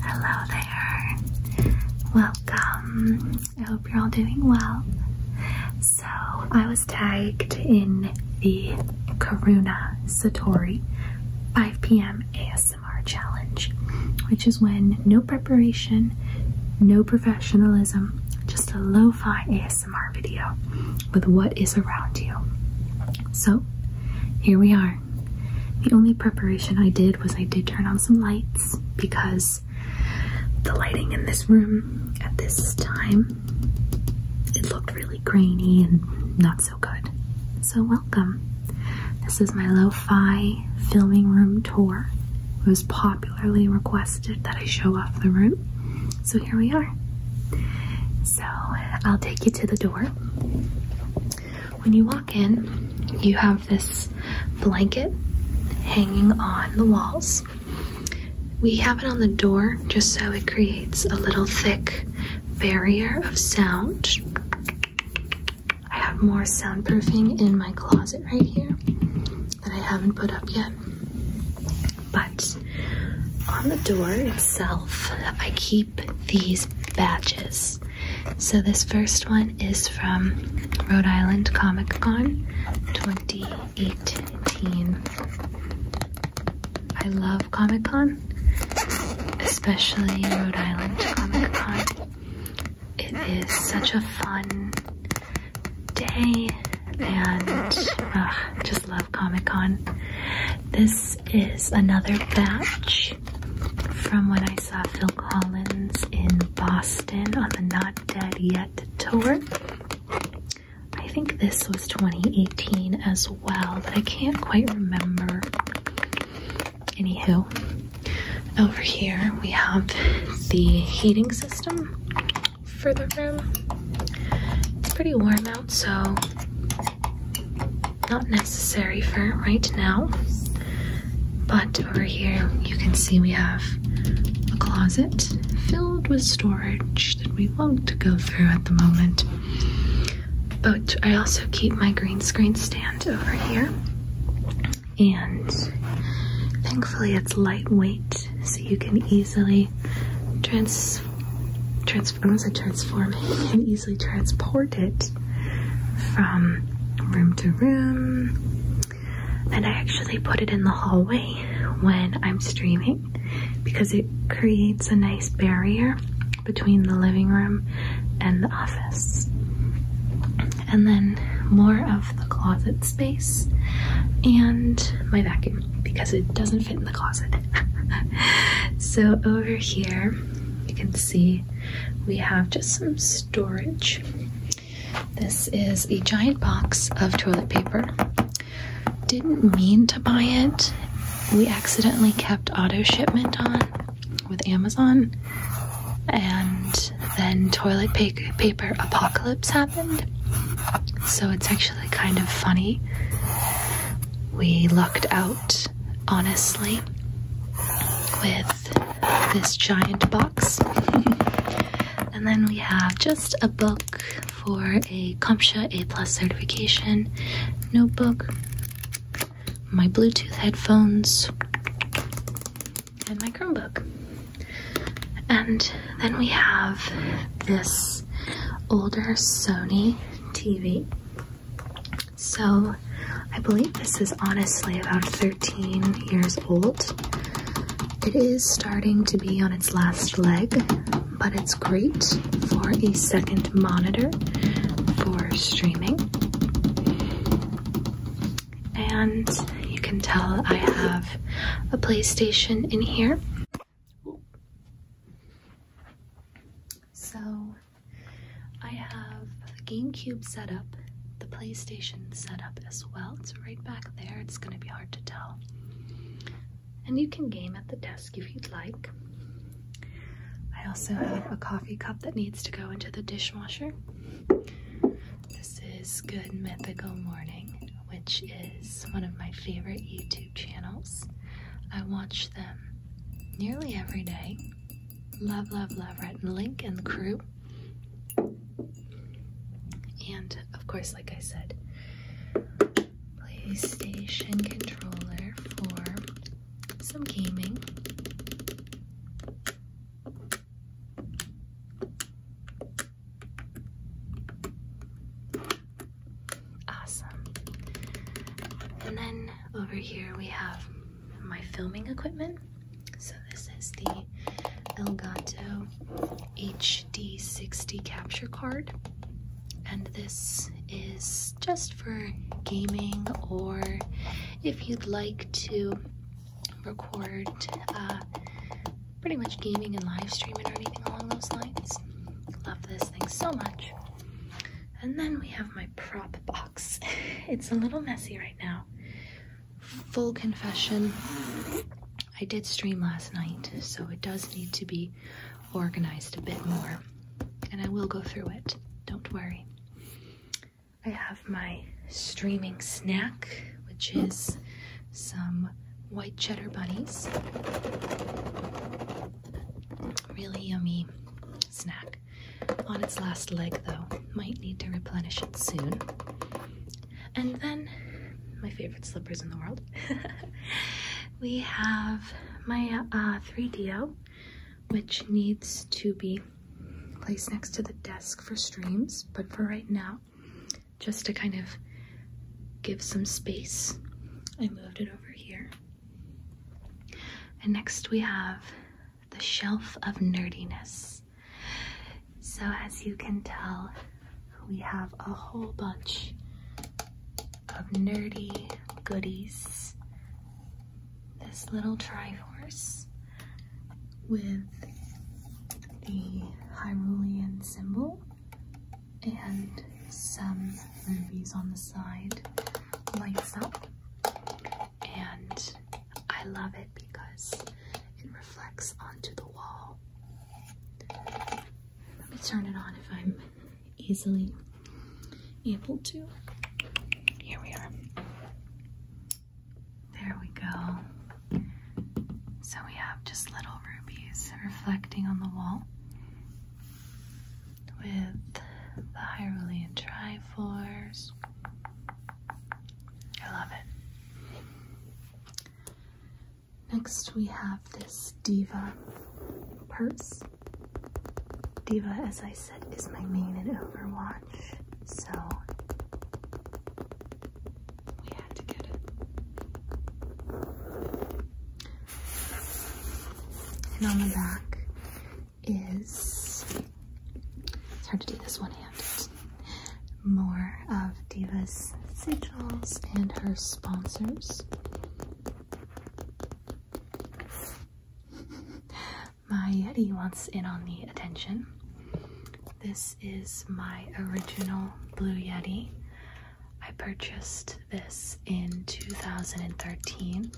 Hello there. Welcome. I hope you're all doing well. So, I was tagged in the Karuna Satori 5 p.m. ASMR ASMR challenge, which is when no preparation, no professionalism, just a lo fi ASMR video with what is around you. So here we are. The only preparation I did was I did turn on some lights because the lighting in this room at this time it looked really grainy and not so so good. So, welcome. This is my lo fi filming room tour. It was popularly requested that I show off the room. So, here we are. So, I'll take you to the door. When you walk in, you have this blanket hanging on the walls. We have it on the door just so it creates a little thick barrier of sound. I have more soundproofing in my closet right here that I haven't put up yet. But on the door itself, I keep these badges. So this first one is from Rhode Island Comic Con 2018. I love Comic Con especially Rhode Island Comic Con. It is such a fun day and uh, just love Comic Con. This is another batch from when I saw Phil Collins in Boston on the Not Dead Yet tour. I think this was 2018 as well, but I can't quite remember. Anywho, over here we have the heating system for the room. It's pretty warm out, so not necessary for right now. But over here, you can see we have a closet filled with storage that we won't go through at the moment. But I also keep my green screen stand over here. And thankfully it's lightweight, so you can easily trans transform, I transform, you can easily transport it from room to room. And I actually put it in the hallway when I'm streaming because it creates a nice barrier between the living room and the office. And then more of the closet space and my vacuum because it doesn't fit in the closet. so over here, you can see we have just some storage. This is a giant box of toilet paper. Didn't mean to buy it. We accidentally kept auto shipment on with Amazon, and then toilet paper apocalypse happened. So it's actually kind of funny. We lucked out, honestly, with this giant box. and then we have just a book for a CompTIA A plus certification notebook my Bluetooth headphones, and my Chromebook. And then we have this older Sony TV. So I believe this is honestly about 13 years old. It is starting to be on its last leg, but it's great for a second monitor for streaming. And you can tell I have a PlayStation in here. So I have the GameCube set up, the PlayStation set up as well. It's right back there. It's going to be hard to tell. And you can game at the desk if you'd like. I also have a coffee cup that needs to go into the dishwasher. This is Good Mythical Morning, which is one of my favorite YouTube channels. I watch them nearly every day. Love, love, love Rhett and Link and the crew. And of course, like I said, PlayStation controller for some gaming. Awesome. And then over here we have my filming equipment. So this is the Elgato HD60 capture card. And this is just for gaming or if you'd like to record uh, pretty much gaming and live streaming or anything along those lines. Love this thing so much. And then we have my prop box. it's a little messy right now. Full confession, I did stream last night, so it does need to be organized a bit more. And I will go through it, don't worry. I have my streaming snack, which is some white cheddar bunnies. Really yummy snack. On its last leg, though, might need to replenish it soon. And then, my favorite slippers in the world. we have my uh, 3DO, which needs to be placed next to the desk for streams. But for right now, just to kind of give some space, I moved it over here. And next we have the shelf of nerdiness. So as you can tell, we have a whole bunch of nerdy goodies this little Triforce with the Hyrulean symbol and some rubies on the side lights up and I love it because it reflects onto the wall. Let me turn it on if I'm easily able to. Here we are. There we go. So we have just little rubies reflecting on the wall with the Hyrulean trifors. I love it. Next we have this Diva purse. Diva, as I said, is my main in Overwatch, so we had to get it. And on the back is, it's hard to do this one-handed, more of Diva's sigils and her sponsors. my Yeti wants in on the attention. This is my original Blue Yeti. I purchased this in 2013.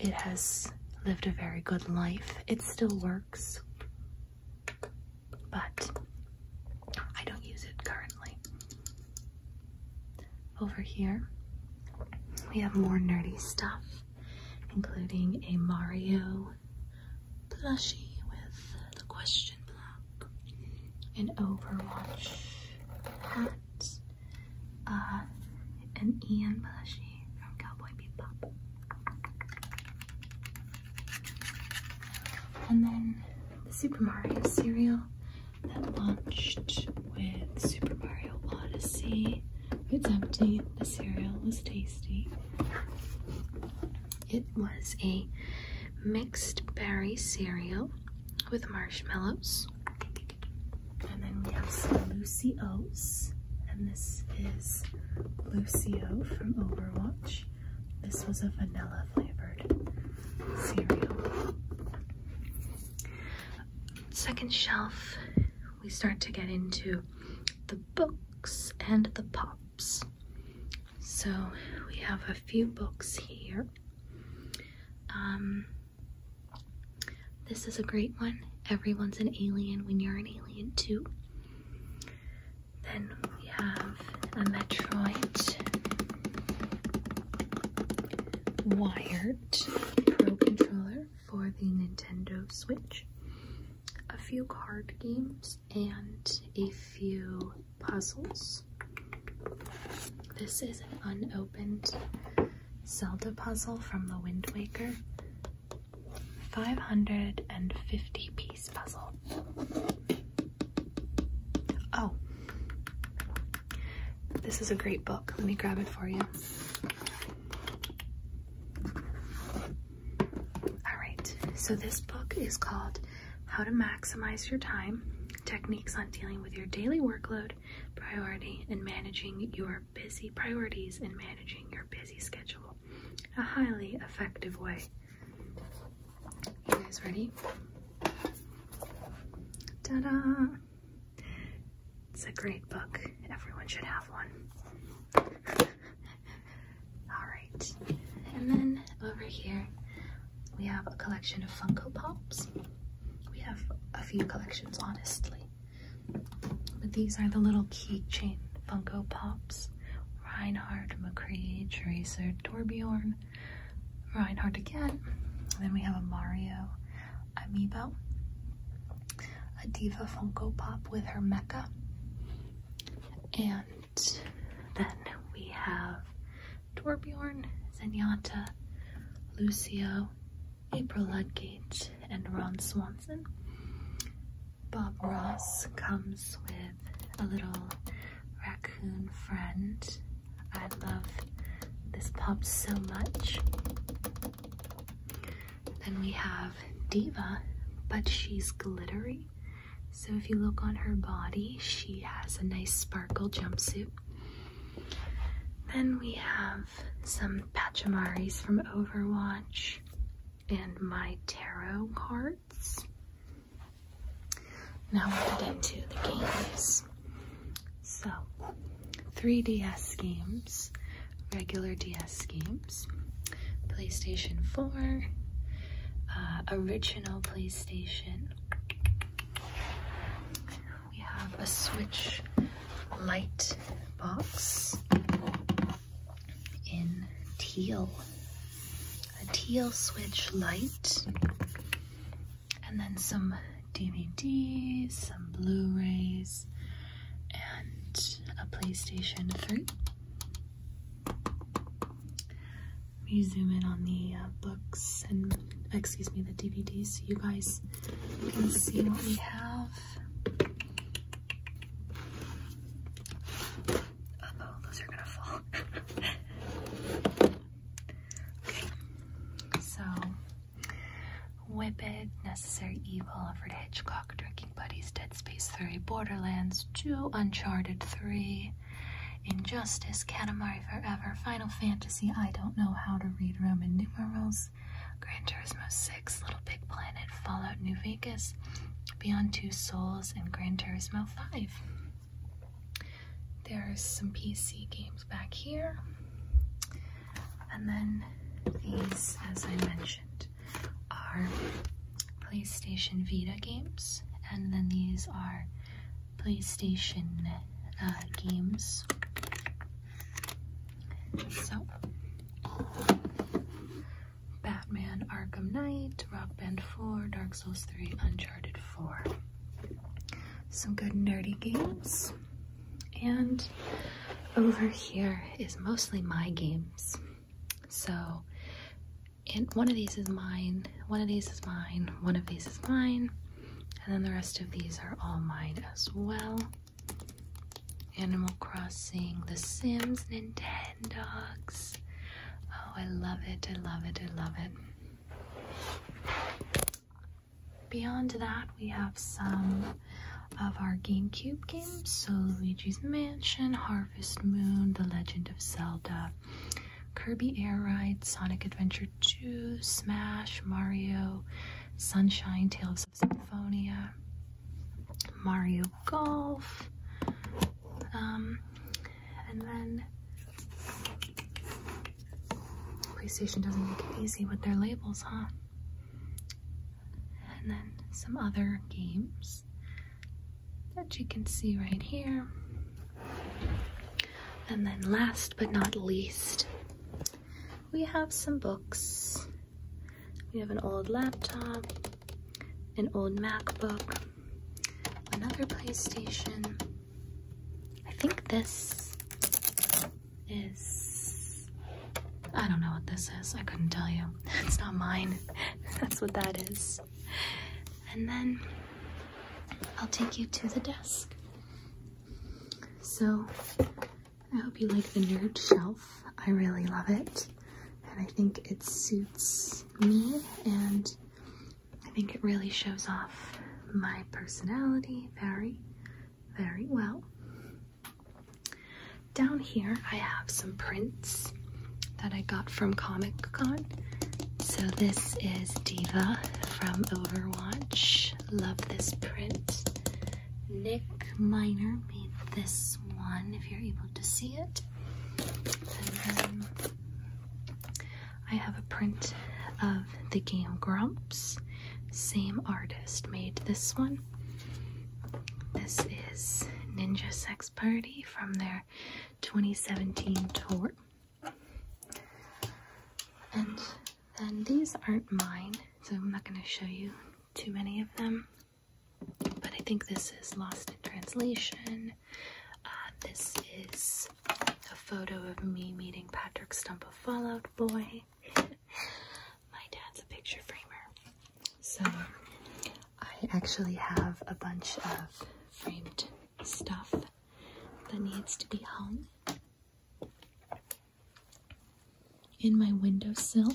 It has lived a very good life. It still works, but I don't use it currently. Over here, we have more nerdy stuff, including a Mario plushie with the question block, an Overwatch hat, uh, an Ian plushie from Cowboy Bebop. And then the Super Mario cereal that launched with Super Mario Odyssey. It's empty. The cereal was tasty. It was a mixed berry cereal with marshmallows. And then we have some Lucy And this is Lucio from Overwatch. This was a vanilla flavored cereal second shelf, we start to get into the books and the pops. So we have a few books here. Um, this is a great one. Everyone's an alien when you're an alien too. Then we have a Metroid. Wired. Pro controller for the Nintendo Switch, a few card games, and a few puzzles. This is an unopened Zelda puzzle from the Wind Waker. 550 piece puzzle. Oh, this is a great book. Let me grab it for you. All right, so this book is called How to Maximize Your Time Techniques on Dealing with Your Daily Workload, Priority, and Managing Your Busy Priorities and Managing Your Busy Schedule. A highly effective way. You guys ready? Ta-da! It's a great book. Everyone should have one. Alright, and then over here we have a collection of Funko Pops. We have a few collections, honestly. But these are the little keychain Funko Pops. Reinhard, McCree, Tracer, Torbjorn, Reinhard again. then we have a Mario Amiibo, a Diva Funko Pop with her mecha, and then we have Torbjorn, Zenyatta, Lucio, April Ludgate, and Ron Swanson. Bob Ross comes with a little raccoon friend I love this pub so much. Then we have Diva, but she's glittery. So if you look on her body, she has a nice sparkle jumpsuit. Then we have some Pachamaris from Overwatch and my tarot cards. Now we'll get into the games. So, 3DS schemes, regular DS schemes, PlayStation 4, uh, original PlayStation. We have a Switch light box in teal. A teal Switch light, And then some DVDs, some Blu-rays, and a PlayStation 3. Let me zoom in on the uh, books and, excuse me, the DVDs so you guys can see what we have. oh, those are gonna fall. okay, so Whip it! Necessary Evil, Alfred Hitchcock, Drinking Buddies, Dead Space 3, Borderlands 2, Uncharted 3, Injustice, Katamari Forever, Final Fantasy, I Don't Know How to Read Roman Numerals, Gran Turismo 6, Little Big Planet, Fallout New Vegas, Beyond Two Souls, and Gran Turismo 5. There's some PC games back here. And then these, as I mentioned, are PlayStation Vita games, and then these are PlayStation uh, games. So, Batman Arkham Knight, Rock Band 4, Dark Souls 3, Uncharted 4. Some good nerdy games. And over here is mostly my games. So, one of these is mine, one of these is mine, one of these is mine, and then the rest of these are all mine as well. Animal Crossing, The Sims, Nintendo. Oh, I love it, I love it, I love it. Beyond that, we have some of our GameCube games. So Luigi's Mansion, Harvest Moon, The Legend of Zelda, Kirby Air Ride, Sonic Adventure 2, Smash, Mario, Sunshine, Tales of Symphonia, Mario Golf, um, and then PlayStation doesn't make it easy with their labels, huh? And then some other games that you can see right here. And then last but not least, we have some books. We have an old laptop, an old MacBook, another PlayStation, I think this is. I don't know what this is. I couldn't tell you. It's not mine. That's what that is. And then I'll take you to the desk. So I hope you like the nerd shelf. I really love it. And I think it suits me and I think it really shows off my personality very very well. Down here, I have some prints that I got from Comic Con. So, this is Diva from Overwatch. Love this print. Nick Miner made this one, if you're able to see it. I have a print of the game Grumps. Same artist made this one. This is Ninja Sex Party from their 2017 tour. And then these aren't mine, so I'm not going to show you too many of them. But I think this is Lost in Translation. Uh, this is a photo of me meeting Patrick Stump of Fallout Boy. My dad's a picture framer. So I actually have a bunch of framed stuff that needs to be hung. In my windowsill,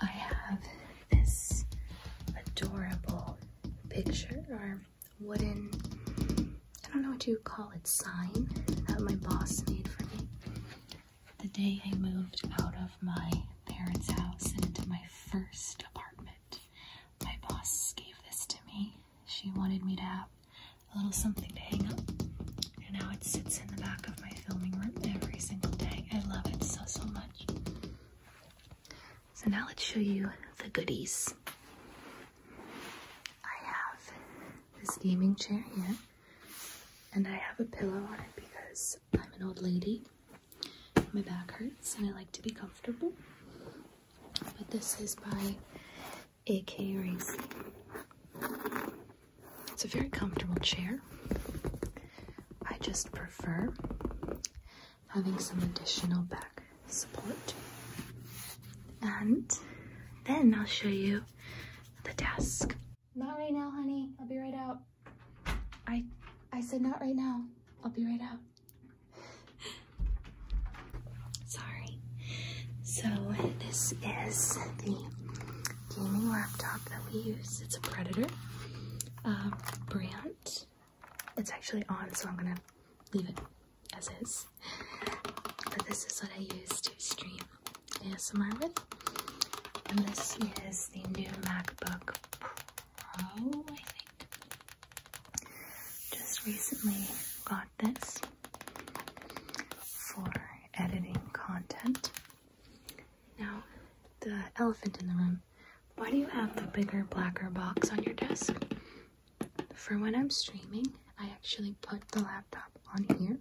I have this adorable picture or wooden, I don't know what to call it, sign that my boss made for me the day I moved out of my parents' house and into my first apartment. My boss gave this to me. She wanted me to have a little something to hang up. And now it sits in the back of my filming room every single day. I love it so, so much. So now let's show you the goodies. I have this gaming chair here, and I have a pillow on it because I'm an old lady. My back hurts and I like to be comfortable. But this is by AK Racing. It's a very comfortable chair. I just prefer having some additional back support. And then I'll show you the desk. Not right now, honey. I'll be right out. I I said not right now. I'll be right out. Sorry. So this is the gaming laptop that we use. It's a Predator uh, brand. It's actually on, so I'm gonna leave it as is this. But this is what I use to stream ASMR with. And this is the new MacBook Pro, I think. Just recently got this for editing content. Now, the elephant in the room. Why do you have the bigger, blacker box on your desk? for when I'm streaming, I actually put the laptop on here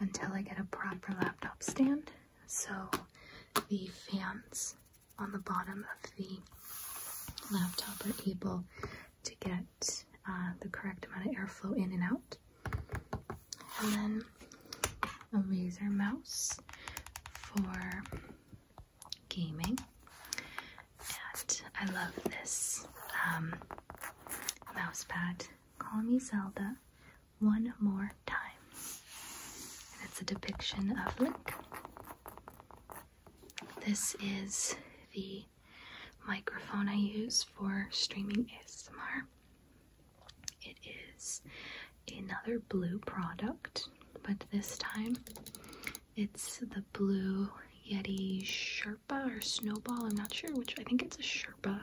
until I get a proper laptop stand. So the fans on the bottom of the laptop are able to get uh, the correct amount of airflow in and out. And then a Razer mouse for gaming. I love this um, mouse pad. Call me Zelda one more time. And it's a depiction of Link. This is the microphone I use for streaming ASMR. It is another blue product, but this time it's the blue Yeti Sherpa or Snowball. I'm not sure which. I think it's a Sherpa.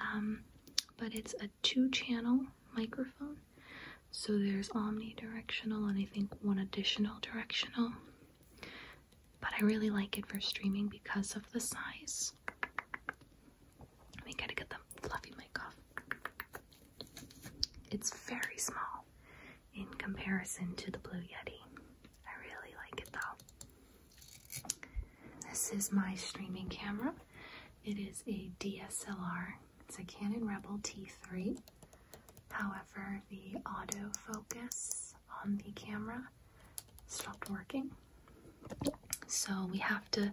Um, but it's a two-channel microphone. So there's omnidirectional and I think one additional directional. But I really like it for streaming because of the size. We gotta get the fluffy mic off. It's very small in comparison to the Blue Yeti. I really like it though. This is my streaming camera. It is a DSLR. It's a Canon Rebel T3. However, the autofocus on the camera stopped working. So we have to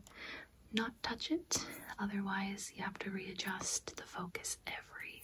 not touch it, otherwise you have to readjust the focus every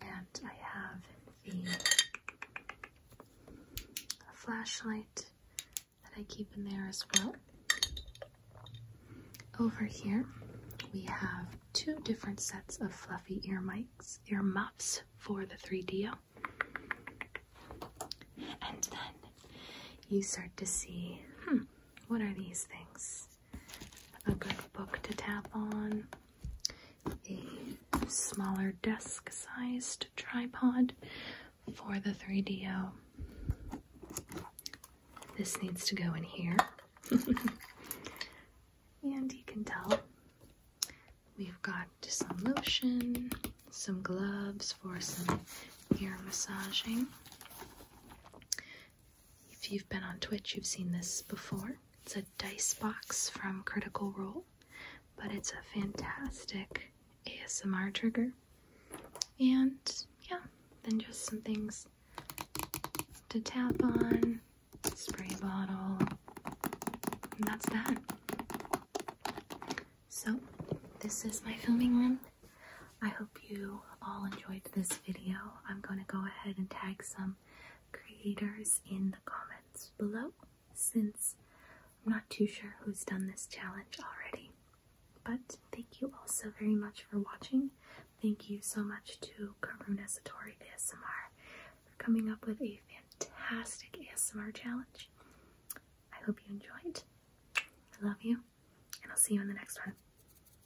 and I have the flashlight that I keep in there as well. Over here, we have two different sets of fluffy ear mics, ear muffs for the 3DO. And then you start to see, hmm, what are these things? a good book to tap on, a smaller desk sized tripod for the 3DO. This needs to go in here. and you can tell we've got some lotion, some gloves for some ear massaging. If you've been on Twitch, you've seen this before. It's a dice box from Critical Role, but it's a fantastic ASMR trigger. And yeah, then just some things to tap on, spray bottle, and that's that. So, this is my filming room. I hope you all enjoyed this video, I'm going to go ahead and tag some creators in the comments below since I'm not too sure who's done this challenge already. But thank you all so very much for watching. Thank you so much to Karuna Satori ASMR for coming up with a fantastic ASMR challenge. I hope you enjoyed. I love you, and I'll see you in the next one.